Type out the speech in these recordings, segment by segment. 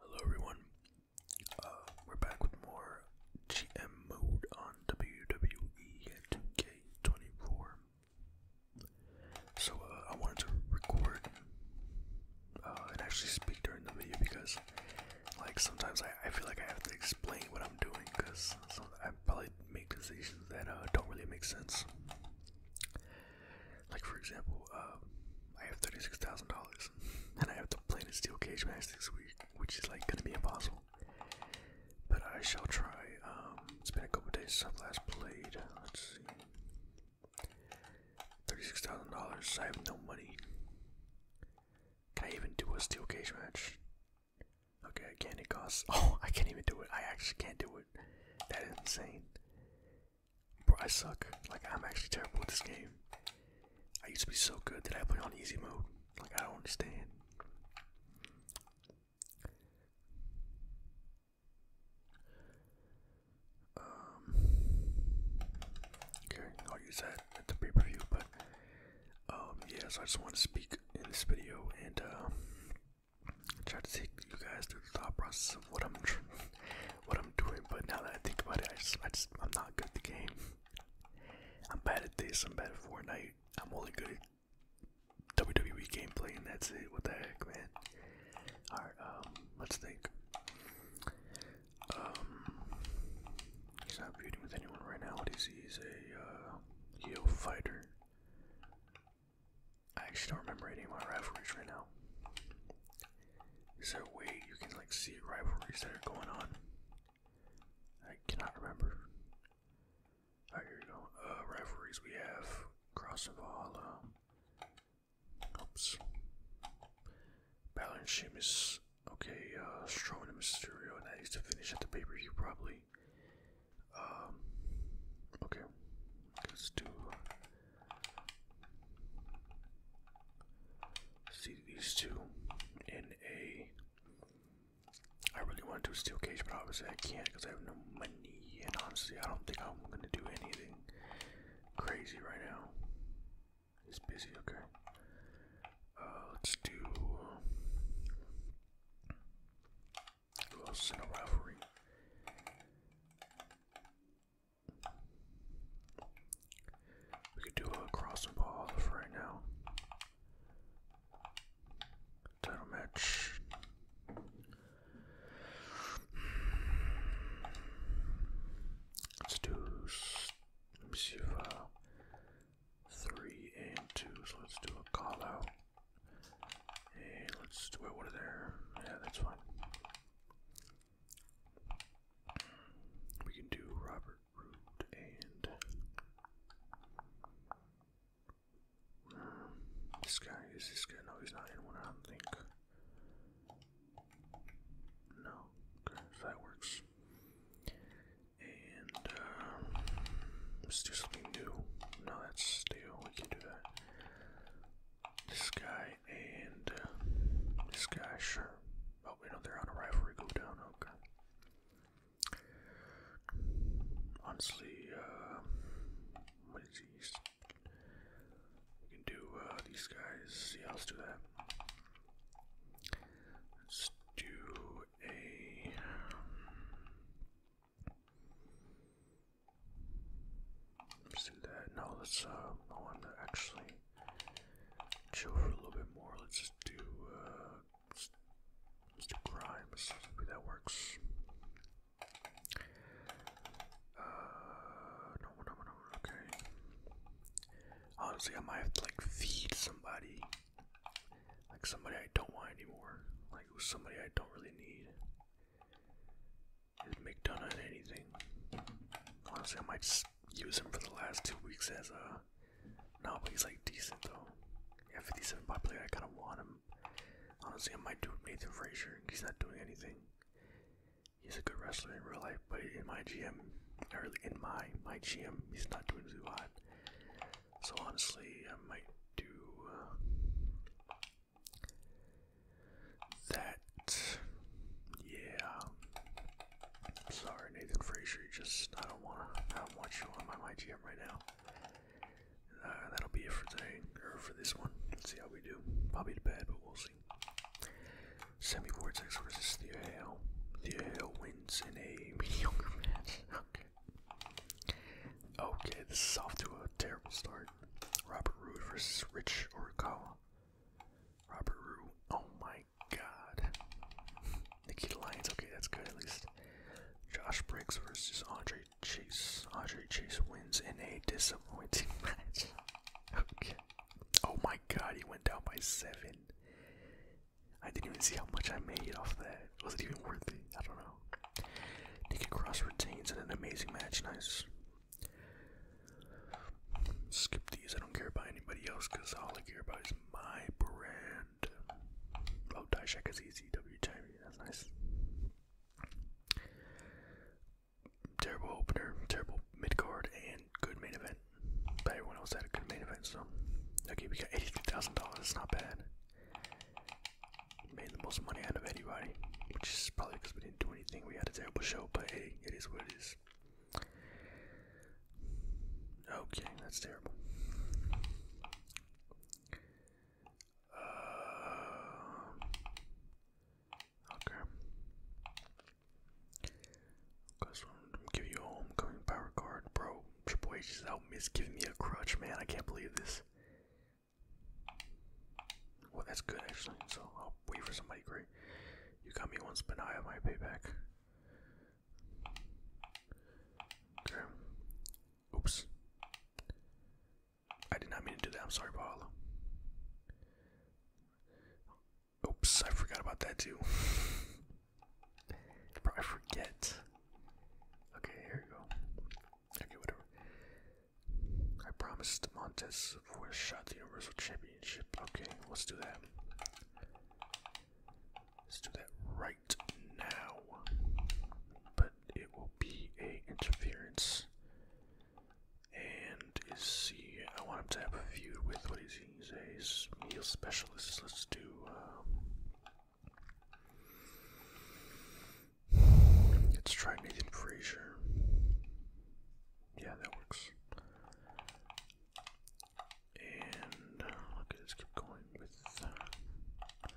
Hello everyone. Uh, we're back with more GM mode on WWE 2K24. So uh, I wanted to record uh, and actually speak during the video because, like, sometimes I, feel like I have to explain what I'm doing because I probably make decisions that don't really make sense. Like for example, um, I have thirty-six thousand dollars, and I have to play a steel cage match this week, which is like gonna be impossible. But I shall try. Um, it's been a couple days since I've last played. Let's see, thirty-six thousand dollars. I have no money. Can I even do a steel cage match? Okay, I can't. It costs. Oh, I can't even do it. I actually can't do it. That is insane. Bro, I suck. Like, I'm actually terrible at this game. I used to be so good that I play on easy mode. Like, I don't understand. Um, okay, I'll use that at the pay per view, but um, yeah, so I just want to speak in this video and uh, try to take you guys through the thought process of what I'm what I'm doing, but now that I think about it, I just, I just I'm not good at the game. I'm bad at this. I'm bad at Fortnite. I'm only good WWE gameplay, and that's it. What the heck, man? All right, um, let's think. Um, he's not feuding with anyone right now. What is he? He's a uh, heel fighter. I actually don't remember any of my rivalries right now. Is there a way you can like see rivalries that are going on? I cannot remember. Alright, here we go. Uh, rivalries we have Cross of Allah. Um, oops. Balor and Sheamus. Okay, uh, Strowman and Mysterio. That needs to finish at the pay per view, probably. Um, okay. Let's do uh, See these two in a. I really want to do a steel cage, but obviously I can't because I have no money. And honestly, I don't think I'm gonna do anything crazy right now. He's busy, okay. Uh, let's do uh, who else rivalry? We could do a crossing ball right now. Title match. Let's do. Let me see if uh, three and two. So let's do a call out. And let's do it. What are there? Yeah, that's fine. We can do Robert Root and um, this guy is this guy. No, he's not in one. I don't think. No, okay, so that works. And uh, let's do something new. No, that's steel. We can do that. This guy and uh, this guy, sure. Oh, you know, they're on a rivalry go down, okay. Honestly, uh, what is these? We can do uh, these guys, yeah, let's do that. Let's do a. Let's do that. No, let's, uh, I want to actually chill for a little bit more. Let's just do, uh, let do crimes. Maybe that works. Uh, no, no, no, okay. Honestly, I might have to, like, feed somebody. Like, somebody I don't want anymore. Like, somebody I don't really need. McDonough and anything. Honestly, I might just use him for the last two weeks as a. No, but he's like decent though. Yeah, 57 popular. I kind of want him. Honestly, I might do Nathan Frazier. He's not doing anything. He's a good wrestler in real life, but in my GM, or in my my GM, he's not doing too hot. So honestly, I might do. Uh, that, yeah. sorry, Nathan Frazier. You just, I don't wanna, I don't want you on my MyGM right now. Uh, that'll be it for today, or for this one. Let's see how we do. Probably bad, but we'll see. Semi Vortex versus the Hale. The Hale wins in a mediocre match. Okay. Okay, this is off to a terrible start. Robert Roode versus Rich Orikawa. Robert Rue. Oh my god. Nikita Lyons. Okay, that's good at least. Josh Briggs versus Andre Chase. Andre Chase wins in a disappointing match. okay. Oh my god, he went down by seven. I didn't even see how much I made off that. Was it even worth it? I don't know. Nikki Cross retains in an amazing match. Nice. Skip these. I don't care about anybody else because all I care about is my brand. Oh, die check is easy. W That's nice. Terrible opener, terrible mid card, and good main event. But everyone else had a good main event, so okay, we got eighty-three thousand dollars. It's not bad. Made the most money out of anybody, which is probably because we didn't do anything. We had a terrible show, but hey, it is what it is. Okay, that's terrible. Uh, okay. give you homecoming power card, bro. Triple H is giving me a crutch, man. I can't believe this. Well, that's good actually. So I'll wait for somebody great. You got me once, but now I have my payback. Okay. Oops. I did not mean to do that. I'm sorry, Paolo. Oops, I forgot about that too. I forget. Okay, here we go. Okay, whatever. I promised Montes for a shot the Universal Championship. Okay, let's do that. Let's do that right now. But it will be a interference. And is see I want him to have a feud with what is he? He's a he's meal specialist. Let's do um, Let's try Nathan Frazier. Yeah, that works. And uh, okay, let's keep going with. Uh,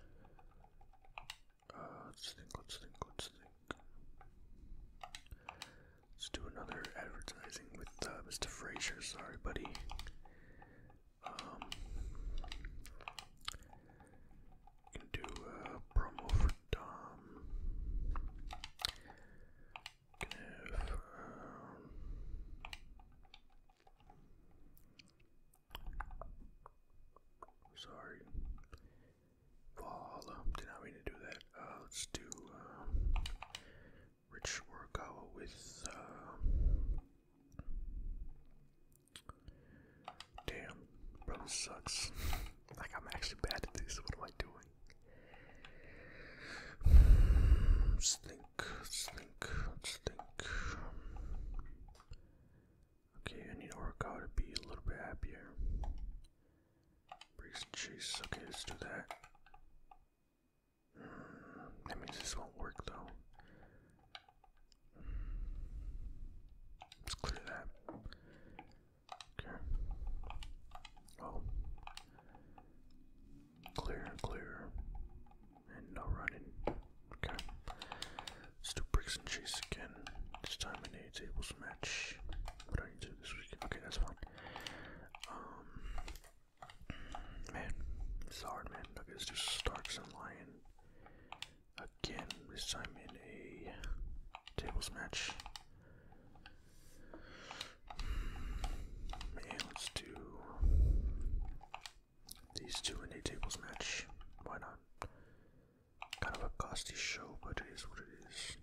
uh, let's think. Let's think. Let's think. Let's do another advertising with Mr. Frazier. Sorry, buddy. Um, can do a promo for Dom. Can have. sorry. Um, Valhalla. Did not mean to do that. Uh, let's do um, Rich Horikawa with. Um, Damn, bro sucks. like I'm actually bad at this. What am I doing? Slink, slink, slink. Okay, I need Oracle to be a little bit happier. Break some Okay, let's do that. Mm, that means this won't work though. Let's clear that. Okay. Oh. Clear, clear. And no running. Okay. Let's do bricks and cheese again. This time I need tables match. What do I need this week? Okay, that's fine. Um, man, it's hard, man. let's do Starks and Lion. Again, this time in a tables match. Hmm, and let's do these two in a tables match. Why not? Kind of a costly show, but it is what it is.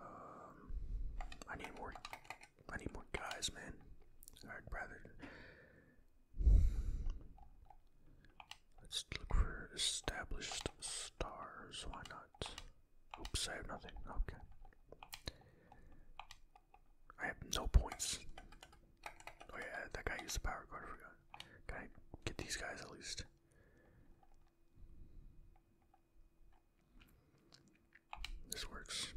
Um, I need more. I need more guys, man. I'd rather Let's look for established stars. Why not? Oops, I have nothing. Okay. I have no points. Oh yeah, that guy used the power card. I forgot. get these guys at least? This works.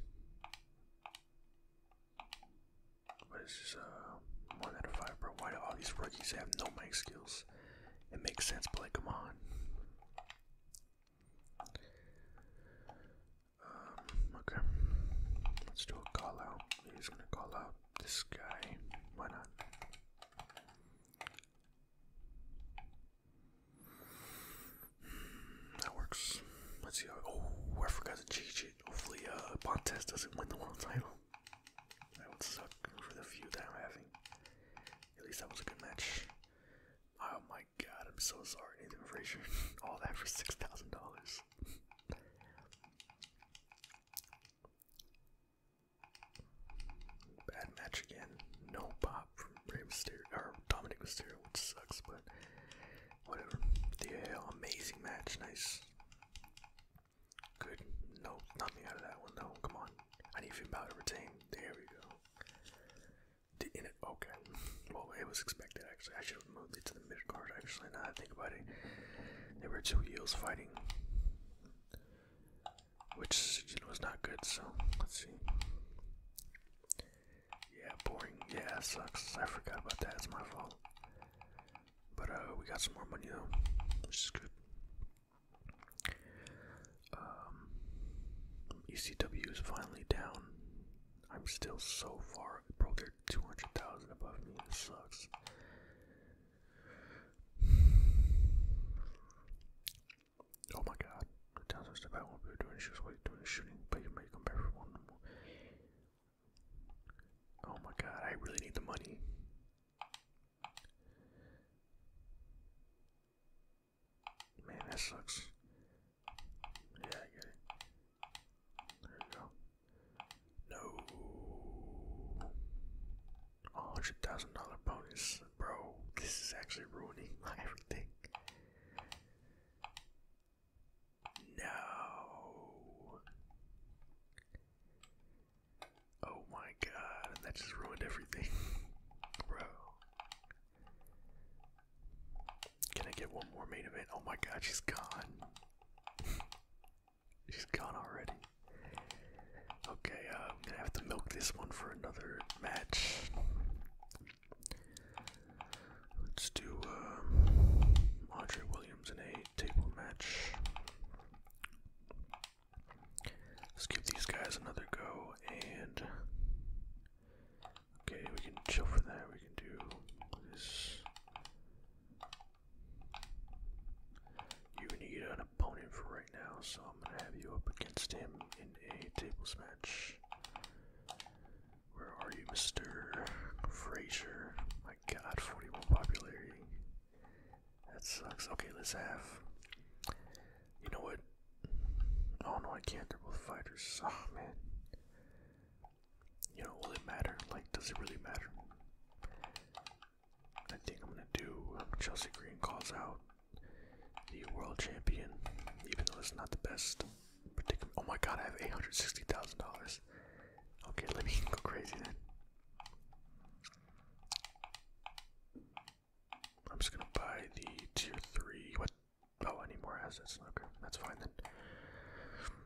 What is this? Uh, one out of five, bro. Why do all these rookies have no mic skills? It makes sense, but like, come on. Um, okay. Let's do a call out. He's gonna call out this guy. Why not? That works. Let's see. oh, I forgot to change it. Hopefully, uh, Bontes doesn't win the world title. That would suck for the few that I'm having. At least that was a good match. Oh my god, I'm so sorry, Nathan Frazier. All that for six thousand dollars. Bad match again. No pop from Rey Mysterio or Dominic Mysterio, which sucks, but whatever. The uh, amazing match, nice. Good. No, nothing out of that one. No, come on. I need to be able to retain. There we go. The in it? Okay. Well, it was expected. Actually, I should have moved it to the mid card. Actually, now I think about it, there were two heels fighting, which you know, was not good. So let's see. Yeah, boring. Yeah, sucks. I forgot about that. It's my fault. But uh, we got some more money though, which is good. Um, ECW is finally down. I'm still so far, bro. They're two hundred thousand above me. This sucks. Oh my God! The downstairs about what we were doing. She was waiting, doing shooting, but you may come back Oh my god, I really need the money. Man, This sucks. Yeah, get it. There we go. No. Oh, $100,000 bonus. Bro, this is actually ruining my everything. No. Oh my god, that just ruined everything. Bro. Can I get one more main event? Oh my god, she's gone. she's gone already. Okay, uh, i have to milk this one for another match. Let's do um, Andre Williams in a table match. Let's give these guys another go and okay, we can chill for that. We can do You need an opponent for right now, so I'm gonna have you up against him in a tables match. Where are you, Mr. Fraser? my god, 41 popularity. That sucks. Okay, let's have. You know what? Oh no, I can't. They're both fighters. Oh man. You know, will it matter? Like, does it really matter? I think I'm gonna do um, Chelsea Green calls out the world champion, even though it's not the best Oh my god, I have $860,000. Okay, let me go crazy then. I'm just gonna buy the tier three. What? Oh, I need more assets. Okay, that's fine then.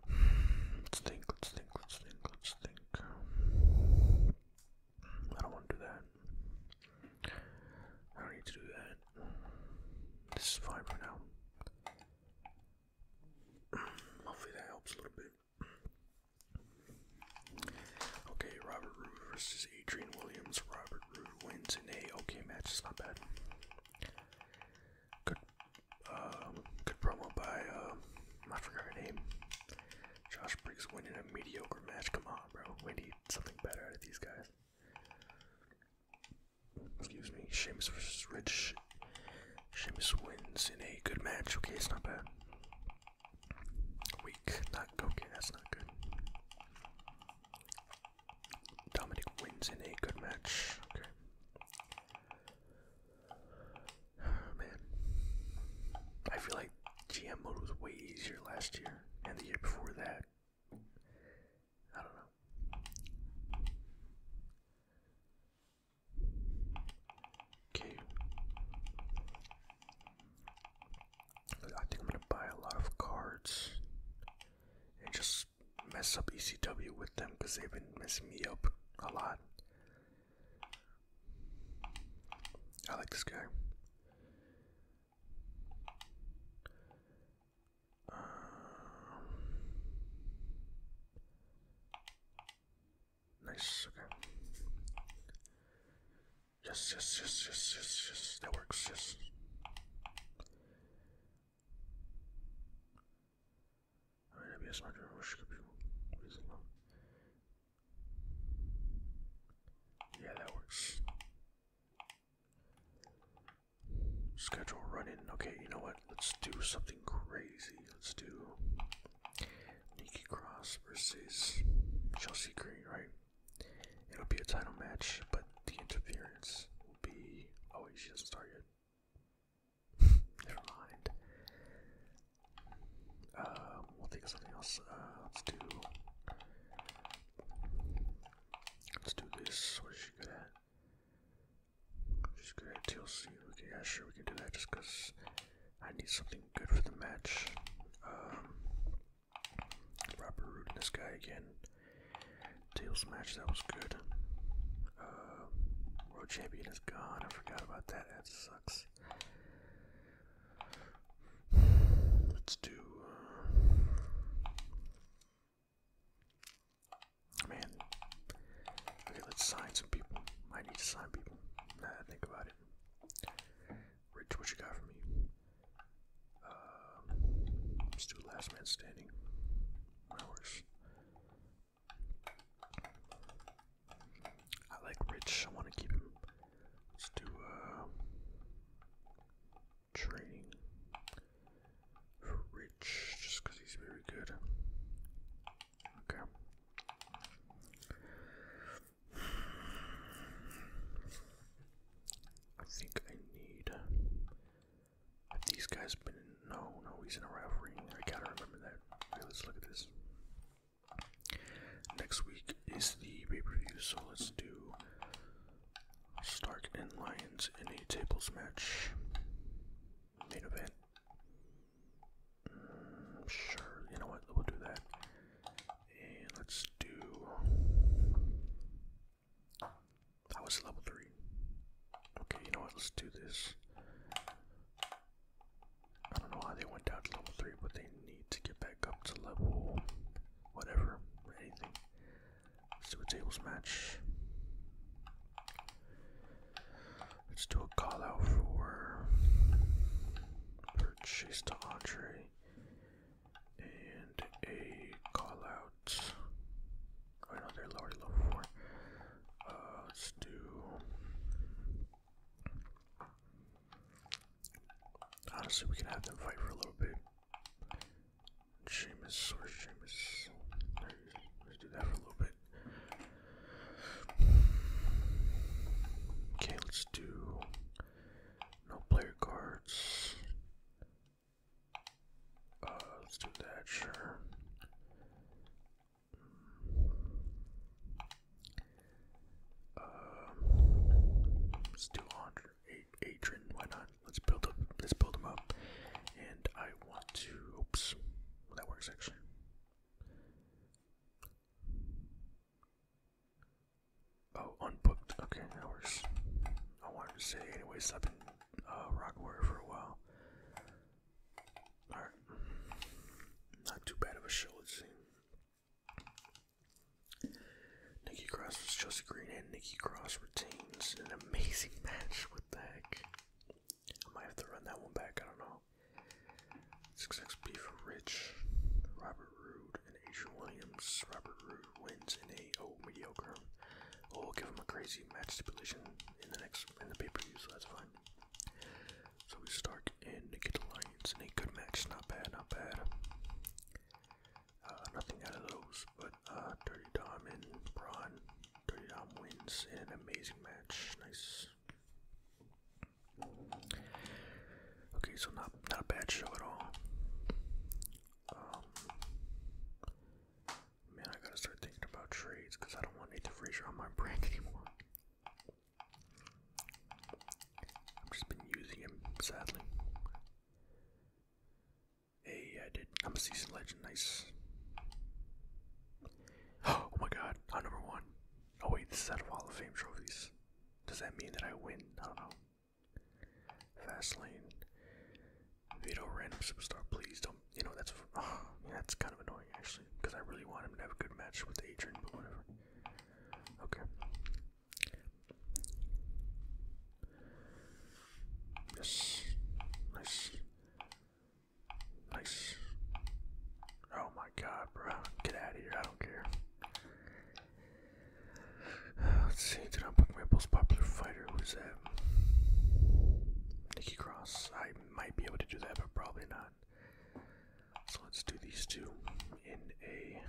Let's think. Let's think. Let's think. Let's think. I don't want to do that. I don't need to do that. This is fine right now. Hopefully that helps a little bit. Okay, Robert Roode versus Adrian Williams. Robert Roode wins in a okay match. It's not bad. Good, uh, good promo by uh, I forgot her name. Josh Briggs winning a mediocre match. Come on, bro. We need something better out of these guys. Excuse me. Sheamus versus Rich Sheamus wins in a good match. Okay, it's not bad. Weak. Not okay. That's not good. Dominic wins in a good match. Okay. Oh, man, I feel like GM mode was way easier last year and the year before that. I don't know. Okay. I think I'm gonna buy a lot of cards and just mess up ECW with them because they've been messing me up a lot. I like this guy. Um, Nice, okay. Yes, yes, yes, yes, yes, yes. That works, yes. Alright, that'd be a smart Yeah, that works. Schedule running. Okay, you know what? let's do something crazy. Let's do Nikki Cross versus Chelsea Green, right? It'll be a title match, but the interference will be. Oh, she doesn't start Never mind. Um, else. Uh, let's do. Let's do this. Just gonna TLC. Okay, yeah, sure, we can do that just because I need something good for the match. Um, Robert Root and this guy again. Tail match, that was good. Uh, World Champion is gone. I forgot about that. That sucks. Let's do. Uh, Man. Okay, let's sign some people. I need to sign people. Now that I think about it. Rich, what you got for me? Uh, let's do last man standing. That works. I like Rich. I want to keep him. Let's do uh, training. For just because he's very good. Okay. I think I need. these guys been No, no, he's in a rivalry. I gotta remember that. Okay, let's look at this. Next week is the pay per view, so let's do Stark and Lions in a tables match. Main event sure, you know what? We'll do that. And let's do. That was level 3. Okay, you know what? Let's do this. I don't know how they went down to level 3, but they need to get back up to level whatever, anything. Let's do a tables match. Let's do a call out for purchase and a call out. Oh, I level four. Uh, let's do. Honestly, we can have them fight for a little bit. Seamus, where's Seamus? Let's do that for a little bit okay, let's do no player cards. Uh, let's do that, sure. Um, let's do hundred Adrian. Why not? Let's build up. Let's build them up. And I want to. Oops. That works actually. Oh, unbooked. Okay, that works. I wanted to say, anyways, I've been uh, Rock Warrior for a while. Alright. Not too bad of a show, let's Nikki Cross Chelsea Green and Nikki Cross retains an amazing match. What the heck? I might have to run that one back. I don't know. 6xP for Rich, Robert Roode, and Asia Williams. Robert Roode wins in a oh mediocre. Oh, we'll give him a crazy match stipulation in the next in the pay per view, so that's fine. So we start and Naked Alliance in a good match. Not bad, not bad. Uh, nothing out of those, but uh, Dirty Dom and Braun Dom wins in an amazing match. Nice. Okay, so not not a bad show at all. Um, man, I gotta start thinking about trades because I don't want to the Frazier on my brain anymore. I've just been using him, sadly. Hey, yeah, I did. I'm a seasoned legend. Nice. Oh my god, I'm number one. Oh wait, this is out of Hall of Fame trophies. Does that mean that I win? I don't know. Fastlane. Vito, random superstar, please don't. You know, that's oh, yeah, that's kind of annoying actually, because I really want him to have a good match with Adrian, but whatever. Okay. Yes. Nice. Nice. Oh my god, bro. Get out of here. I don't care. let's see. Did I book my most popular fighter? Who's that? Nikki Cross. I might be able to do that, but probably not. So let's do these two in a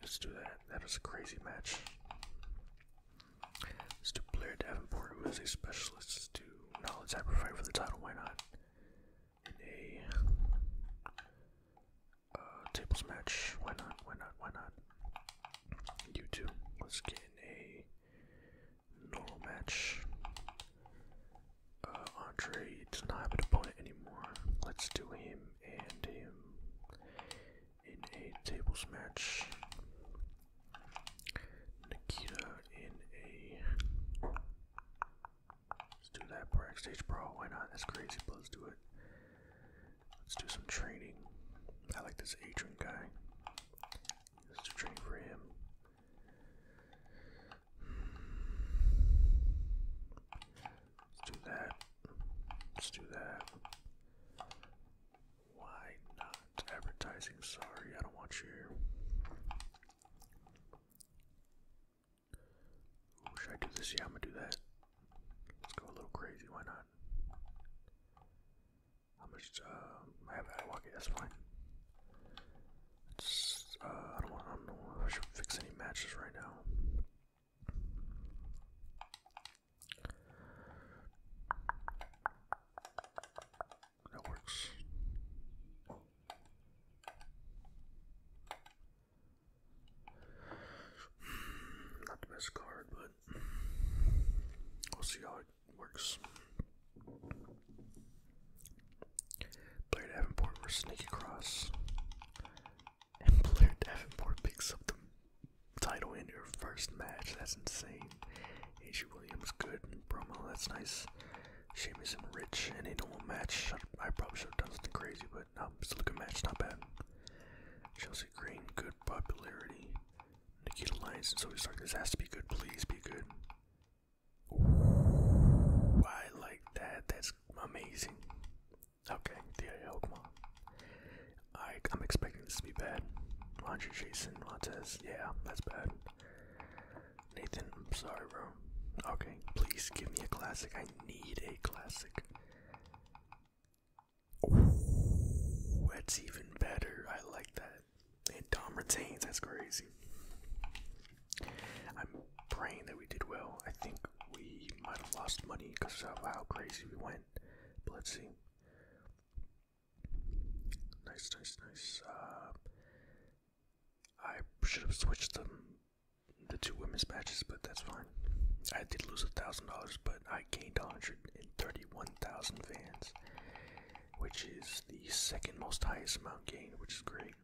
Let's do that. That was a crazy match. Let's do Blair Davenport, who is a specialist. Let's do Knowledge fight for the title. Why not? In a uh, tables match. Why not? Why not? Why not? You too. let Let's get a normal match. Uh, Andre does not have an opponent anymore. Let's do him and him in a tables match. Nikita in a. Let's do that backstage brawl. Why not? That's crazy, but do it. Let's do some training. I like this Adrian guy. Let's do for him. Let's do that. Let's do that. Why not? Advertising, sorry, I don't want you should I do this? Yeah, I'm gonna do that. Let's go a little crazy, why not? How much, uh, I have Adwalkie, that's fine. It's, uh, I don't want, I don't know if fix any matches right now. That works. Not the best card, but we'll see how it works. Blair Davenport versus Sneaky And Blair Davenport picks up the title in your first match. That's insane. H. Williams, good promo. That's nice. Sheamus and Rich in a normal match. I probably should have done something crazy, but no, it's a good match. Not bad. Chelsea Green, good popularity. Nikita Lyons and Zoe Stark. This has to be good. Please be good. I like that. That's amazing. Okay, Thea I, am expecting this to be bad. Roger Jason Montez. Yeah, that's bad. Nathan, I'm sorry, bro. Okay, please give me a classic. I need a classic. that's even better. I like that. And Dom retains. That's crazy. I'm praying that we did well. I think we might have lost money because of how crazy we went. But let's see. Nice, nice, nice. Uh, I should have switched them, the two women's matches, but that's fine. I did lose a thousand dollars, but I gained 131,000 fans, which is the second most highest amount gained, which is great.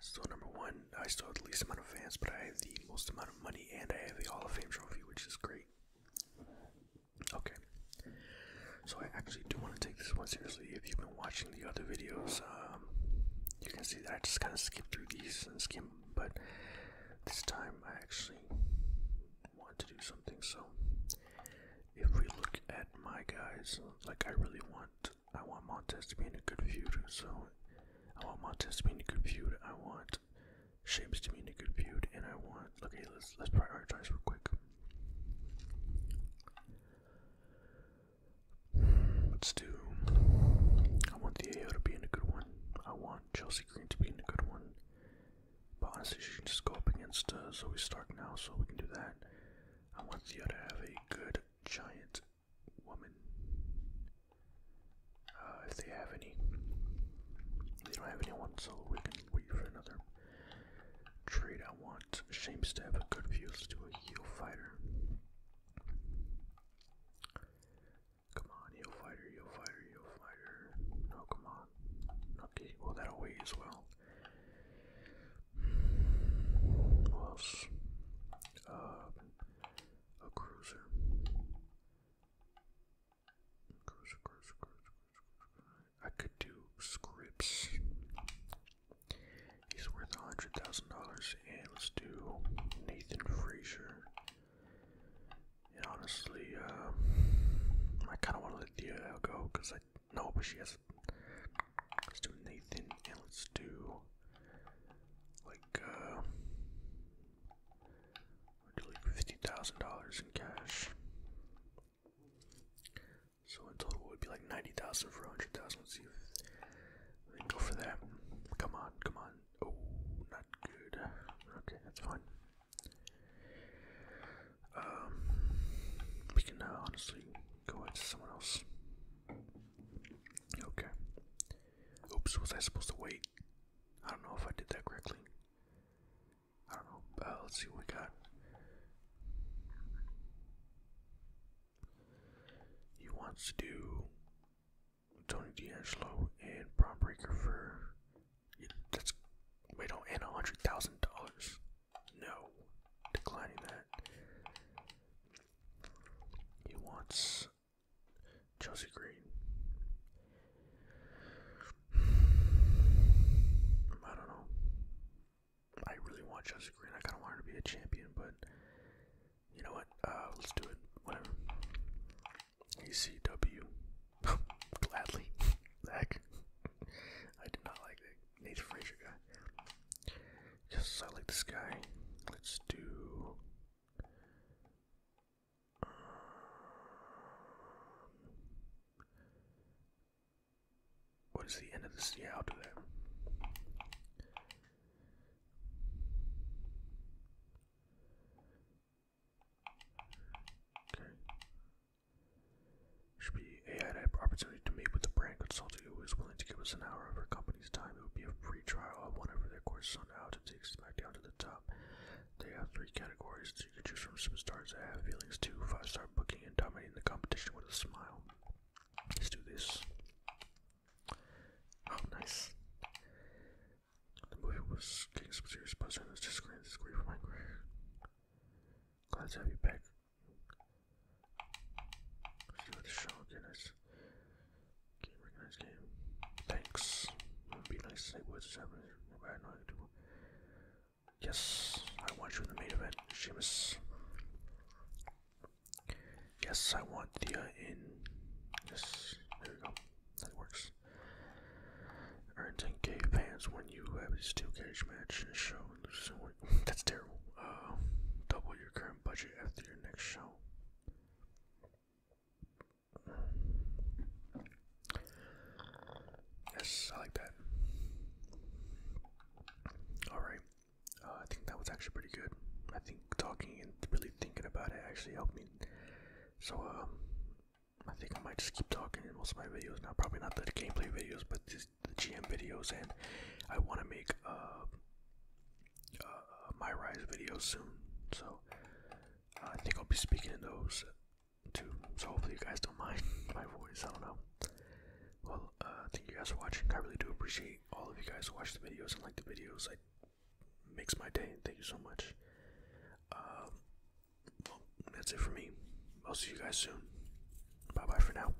Still number one, I still have the least amount of fans, but I have the most amount of money, and I have the Hall of Fame trophy, which is great. Okay, so I actually do want to take this one seriously. If you've been watching the other videos, um, you can see that I just kind of skip through these and skim, but this time I actually want to do something. So, if we look at my guys, like I really want I want Montez to be in a good feud, so I want Montez to be in a good feud. I want Shapes to be in a good feud, and I want. Okay, let's let's prioritize real quick. Let's do. I want the AO to be in a good one. I want Chelsea Green to be in a good one. But honestly, she can just go up against uh, Zoe Stark now, so we can do that. I want Theo to have a good giant woman. Uh, if they have any. They don't have anyone, so we can wait for another trade. I want Shames to have a good view. to a heel fighter. Come on, heel fighter, heel fighter, heel fighter. No, come on. Okay, well, that away as well. Who else? Uh, a cruiser. Cruiser, cruiser, cruiser, cruiser. I could do scripts. He's worth a hundred thousand dollars, and let's do Nathan Frazier. And honestly, um, I kind of want to let Dia go because I know, but she has. Let's do Nathan, and let's do like do like fifty thousand dollars in cash. So in total it would be like ninety thousand for a hundred thousand. Let's see if we can go for that. Come on, come on. Oh, not good. Okay, that's fine. Um, we can now uh, honestly go into someone else. Okay. Oops, was I supposed to wait? I don't know if I did that correctly. I don't know. Uh, let's see what we got. He wants to do Tony D'Angelo and Braun Breaker for. Yeah, that's. Wait, oh, a $100,000. No. Declining that. He wants Chelsea Green. I don't know. I really want Chelsea Green. I kind of want to be a champion, but you know what? Uh, let's do it. Whatever. ECW. Gladly. Heck. I did not like the Nathan Frazier guy. Yes, I like this guy. Let's do. Um, what is the end of this? Yeah, I'll do Okay. Should be AI to have opportunity to meet with a brand consultant who is willing to give us an hour of her company. This time. It would be a free trial. I won over their courses on how to take down to the top. They have three categories so you can choose from some stars that have feelings too, five star booking, and dominating the competition with a smile. Let's do this. Oh, nice. The movie was getting some serious just great. It's great for my Glad to have you back. Let's do the shotgun. Nice. Okay, recognize game. Thanks. Would be nice to say words seven. Yes, I want you in the main event, Sheamus. Yes, I want Thea uh, in. Yes, there we go. That works. Earn 10k fans when you have this two cage match and show that's terrible. Uh, double your current budget after your next show. Yes, I like that. Alright. Uh, I think that was actually pretty good. I think talking and really thinking about it actually helped me. So, um, I think I might just keep talking in most of my videos now. Probably not the gameplay videos, but the GM videos. And I want to make uh, uh, my rise videos soon. So I think I'll be speaking in those too. So hopefully you guys don't mind my voice. I don't know. Well, uh, thank you guys for watching. I really do appreciate all of you guys who watch the videos and like the videos. It makes my day. Thank you so much. Um, well, that's it for me. I'll see you guys soon. Bye bye for now.